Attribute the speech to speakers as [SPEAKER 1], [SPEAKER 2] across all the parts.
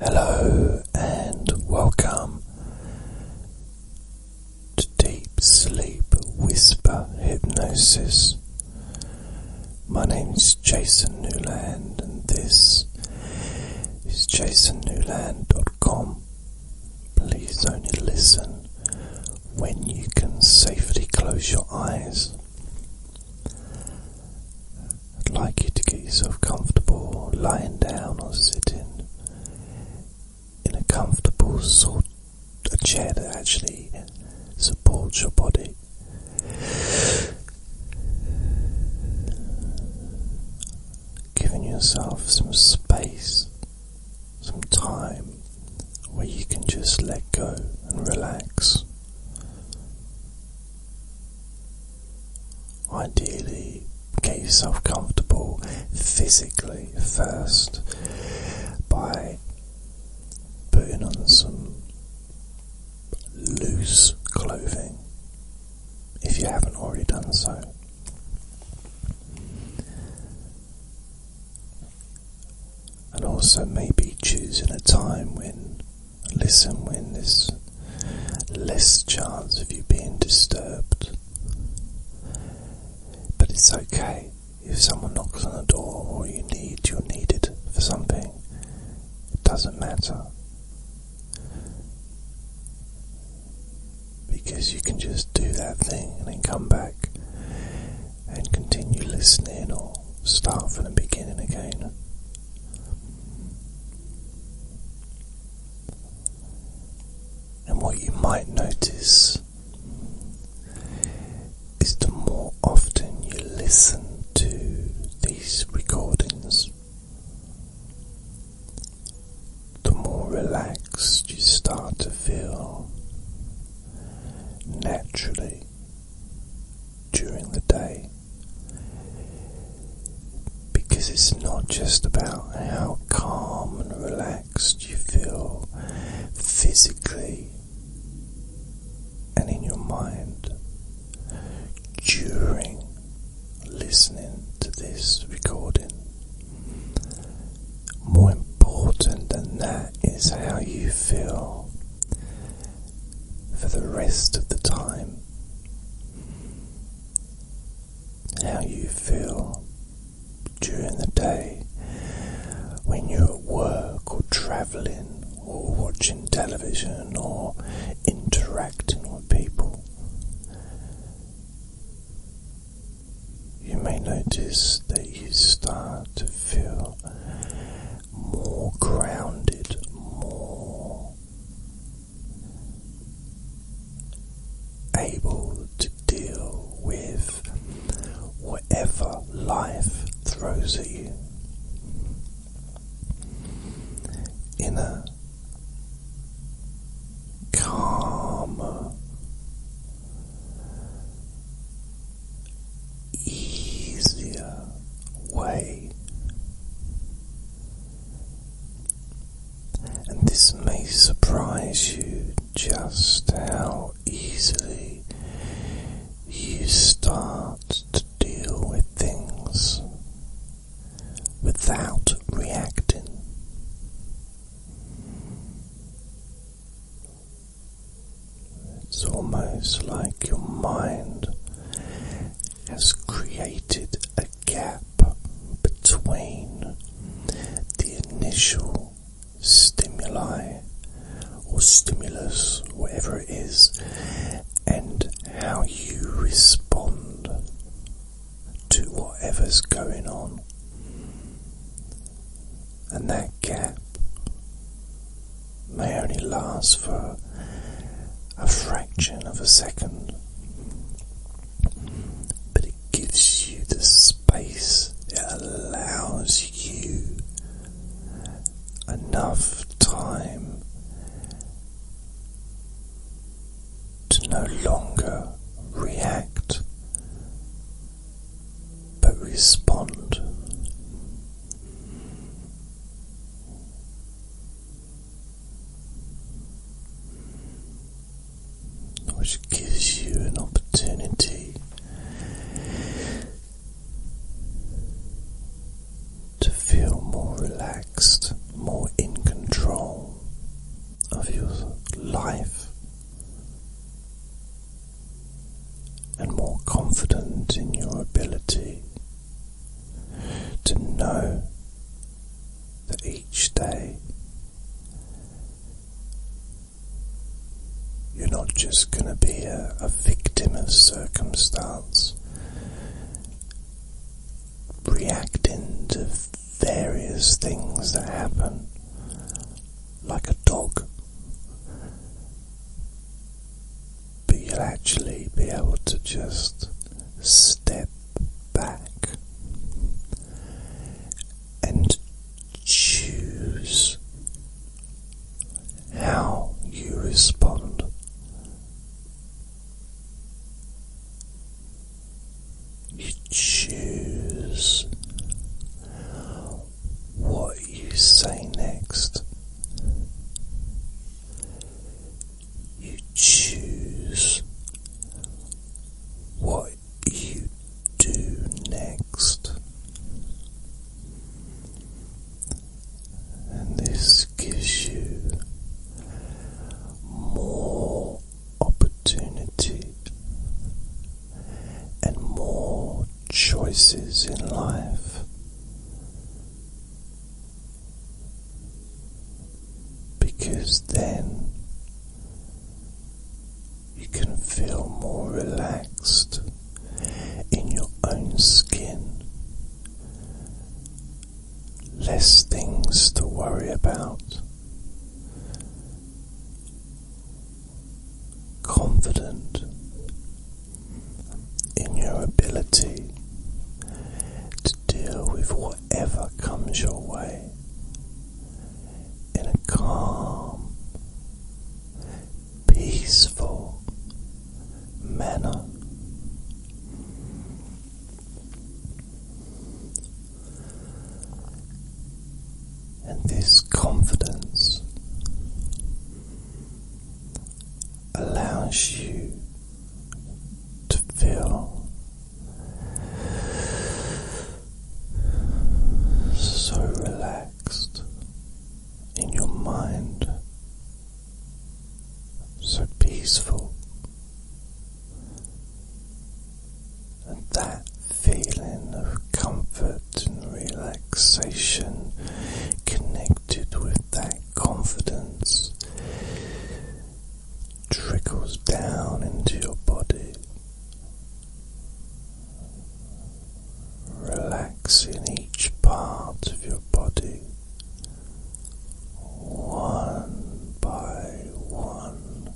[SPEAKER 1] Hello and welcome to Deep Sleep Whisper Hypnosis. My name is Jason Newland, and this is jasonnewland.com. Please only listen when you can safely close your eyes. I'd like you to get yourself comfortable lying down or sitting in a comfortable sort a chair that actually supports your body. Giving yourself some space, some time where you can just let go and relax. Ideally, get yourself comfortable physically first by putting on some loose clothing if you haven't already done so. And also, maybe choosing a time when Listen when there's less chance of you being disturbed. But it's okay if someone knocks on the door or you need, you're needed for something. It doesn't matter. Because you can just do that thing and then come back and continue listening or start from the beginning again. And what you might notice is the more often you listen to these recordings, the more relaxed you start to feel naturally during the day. Because it's not just about how calm and relaxed you feel physically and in your mind during listening to this recording. More important than that is how you feel for the rest of the time. How you feel during the day when you're at work or traveling or watching television or interacting with people. You may notice that you start to feel more grounded, more able to deal with whatever life throws at you in a calmer, easier way. And this may surprise you just how easily you start to deal with things without reacting. It's almost like your mind has created a gap between the initial stimuli or stimulus, whatever it is, and how you respond to whatever's going on. And that gap may only last for a fraction of a second, but it gives you the space, it allows you enough time to no longer react but respond which gives you an opportunity to feel more relaxed, more in control of your life and more confident in your ability to know that each day you're not just going to be a, victim of circumstance, reacting to various things that happen like a dog. But you'll actually be able to just step back and choose how you respond. You choose what you say next. You choose what you do next, and this gives you more opportunity and more choices in life. Because then you can feel more relaxed in your own skin, less things to worry about, confident in your ability to deal with whatever comes your way in a calm, peaceful manner and this confidence allows you to feel so relaxed in your mind, so peaceful, and that feeling of comfort and relaxation connected with that confidence trickles down into your body, relaxing each part of your body. One by one,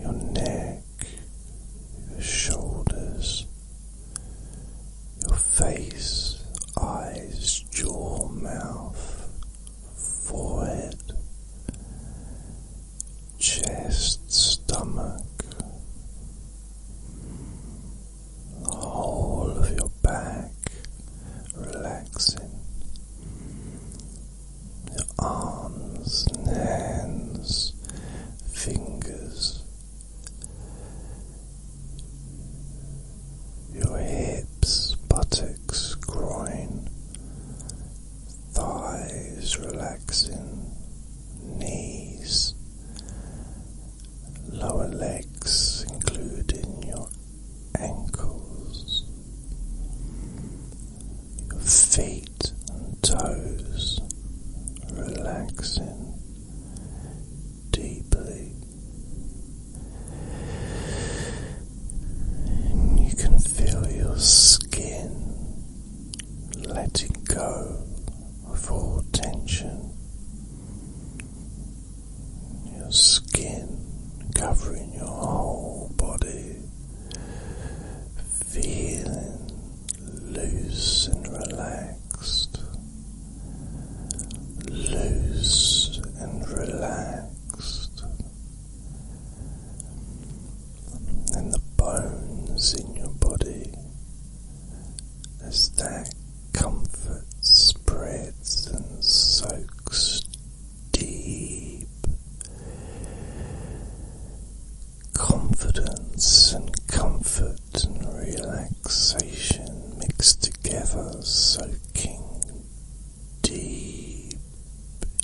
[SPEAKER 1] your neck your shoulders, your face, eyes, jaw, mouth, forehead, chest, stomach, the whole of your back relaxing arms hands, fingers, your hips, buttocks, groin, thighs relaxing, knees, lower legs, including your ankles your feet and toes relaxing deeply. you can feel your skin letting go of all tension. Your skin covering your whole body feeling loose and relaxed, loose and relaxed, and the bones in your body as that comfort spreads and soaks deep confidence and comfort and relaxation mixed together, soaking deep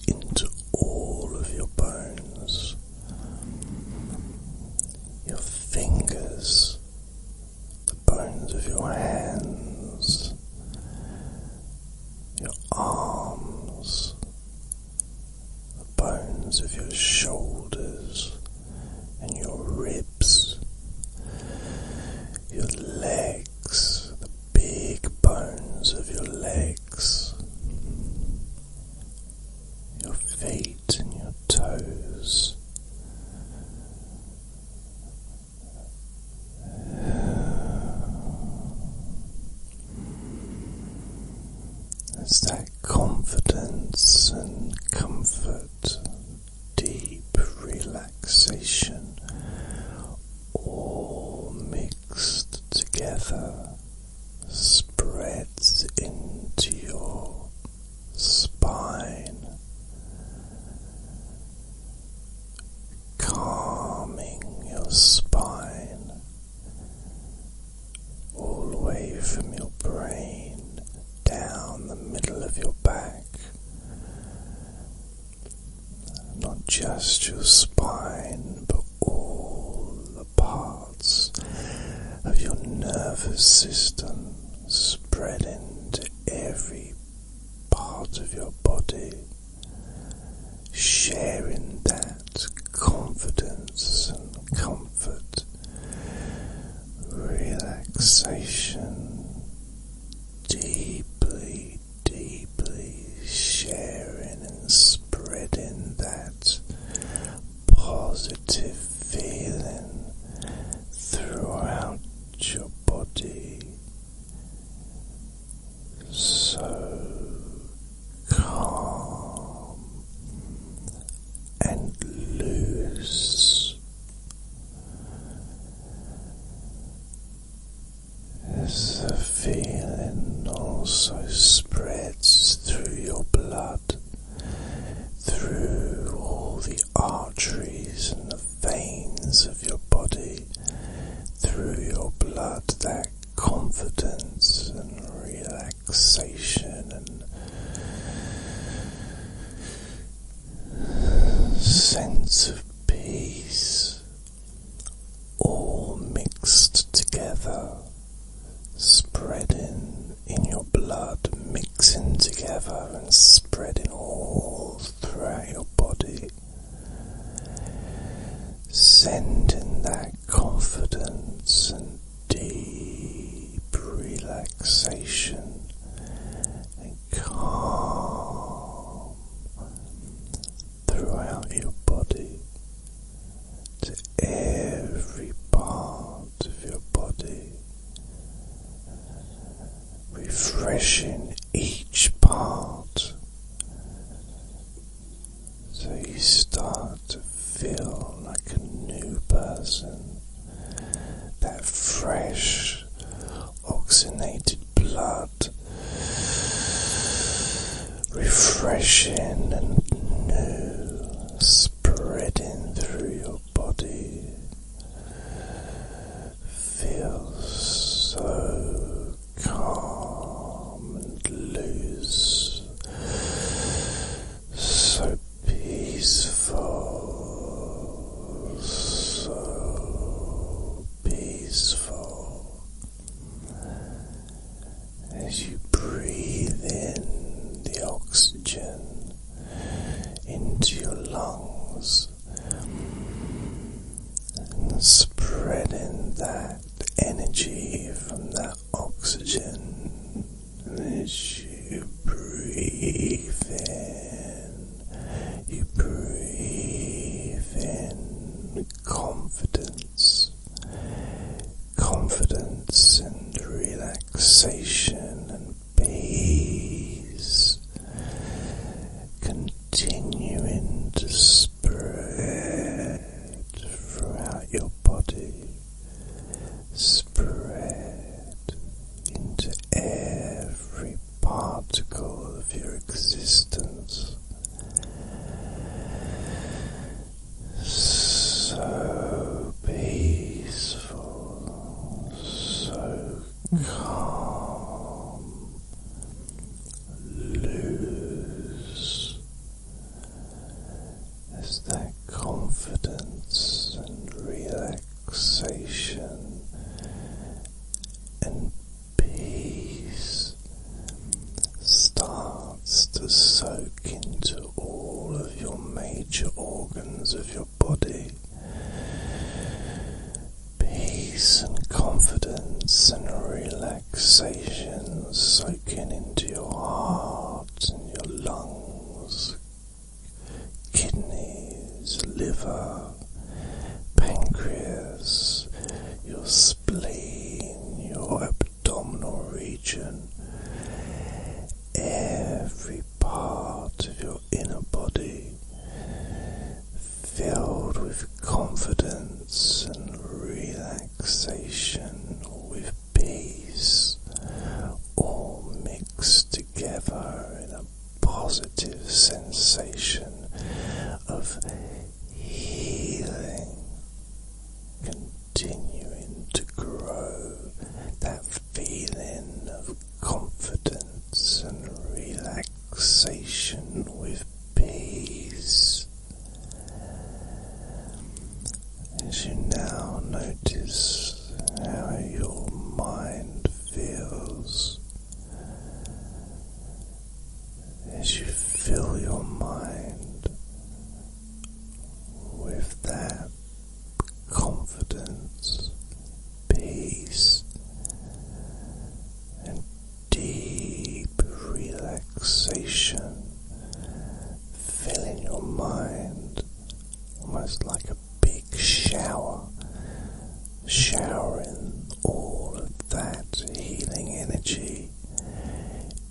[SPEAKER 1] into all of your bones. Your fingers, the bones of your hands, your arms, the bones of your shoulders and your ribs, your legs, the big bones of your legs, your feet and your toes. As that confidence and comfort, deep relaxation, all mixed together, spreads into your spine calming your spine all the way from your brain down the middle of your back. Not just your spine, but all the parts of your nervous system spread into every part of your body sharing that confidence and comfort, relaxation, deeply, deeply sharing and spreading that positive feeling throughout your body so calm and loose. As the feeling also spreads through your blood, through all the arteries veins of your body, through your blood, that confidence and relaxation and sense of peace, all mixed together, spreading in your blood, mixing together and spreading all throughout your body right. Sending that confidence and deep relaxation and calm throughout your body to every part of your body refreshing each part so you start to feel like a new person. That fresh, oxygenated blood, refreshing and new, spreading through your body feels so calm and loose, so peaceful, so peaceful as you breathe in the oxygen into your lungs and spreading that energy from that oxygen as you breathe in, you breathe in confidence, confidence and relaxation and peace continuing to spread throughout your body, spread into every particle of your existence. So peaceful, so calm, loose as that confidence and relaxation and peace starts to soak into all of your major organs of your body. Peace and confidence and relaxation soaking into your heart and your lungs, kidneys, liver, pancreas, your spleen, your abdominal region. Every part of your your inner body filled with confidence and relaxation, with peace, all mixed together in a positive sensation of healing, continuing to grow that feeling of confidence and relaxation with peace. As you now notice how your mind feels, as you fill your mind with that confidence, peace, and deep relaxation filling your mind almost like a big shower, showering all of that healing energy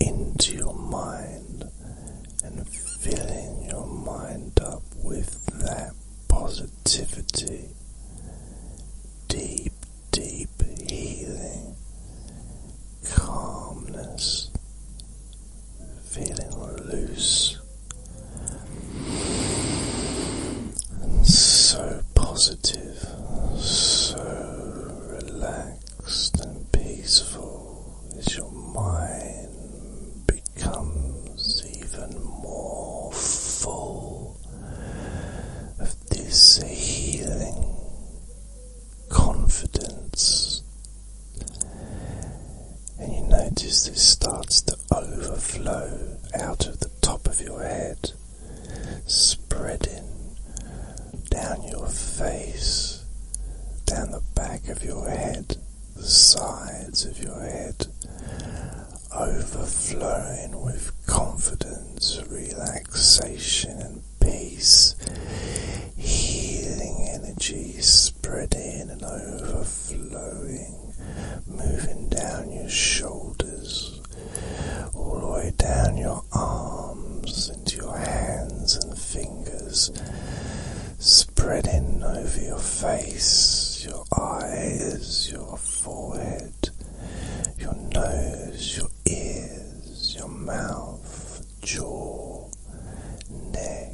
[SPEAKER 1] into your mind and filling your mind up with that positivity, deep, deep healing, calmness, feeling loose and so positive, so relaxed and peaceful is your mind. Comes even more full of this healing confidence. And you notice this starts to overflow out of the top of your head, spreading down your face, down the back of your head, the sides of your head, overflowing with confidence, relaxation, and peace, healing energies spreading and overflowing, moving down your shoulders, all the way down your arms, into your hands and fingers spreading over your face, your eyes, your forehead, your nose, your ears, your mouth, jaw, neck,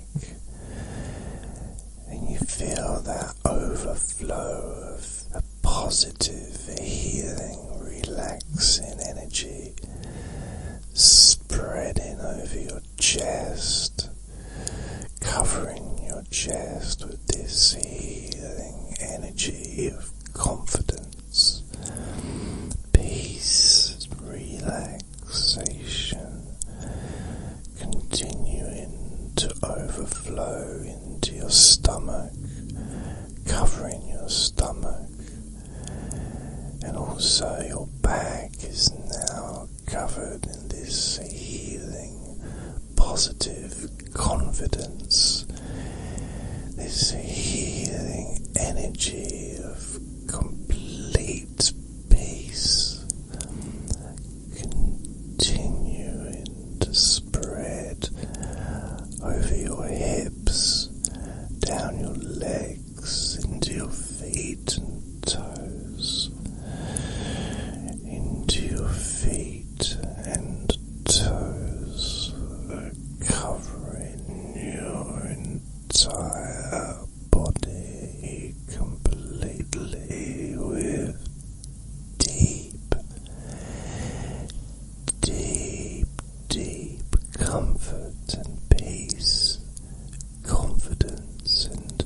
[SPEAKER 1] and you feel that overflow of a positive, healing, relaxing energy spreading over your chest, covering your chest with this healing energy of confidence, peace, relaxation, continuing to overflow into your stomach, covering your stomach. And also, your back is now covered in this healing, positive confidence, this healing energy of complete peace, continue to spread over your hips, down your legs into your feet and toes, into your feet and toes, covering your entire body completely with deep, deep, deep comfort and peace confidence and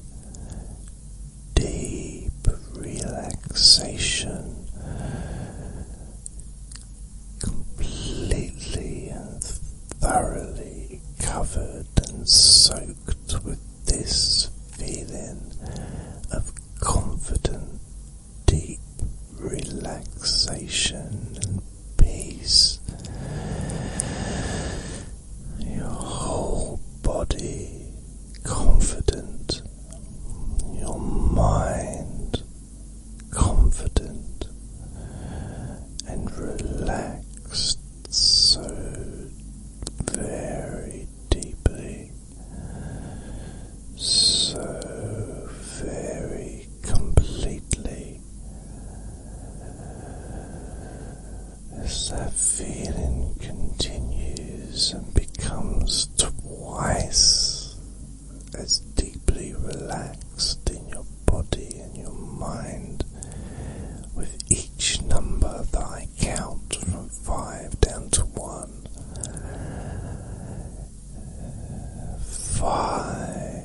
[SPEAKER 1] deep relaxation completely and thoroughly covered and soaked with this feeling of confident deep relaxation and peace your whole body confident, your mind confident and relaxed so very deeply, so very completely. As that feeling continues and becomes twice as deeply relaxed in your body and your mind with each number that I count from five down to one. Five,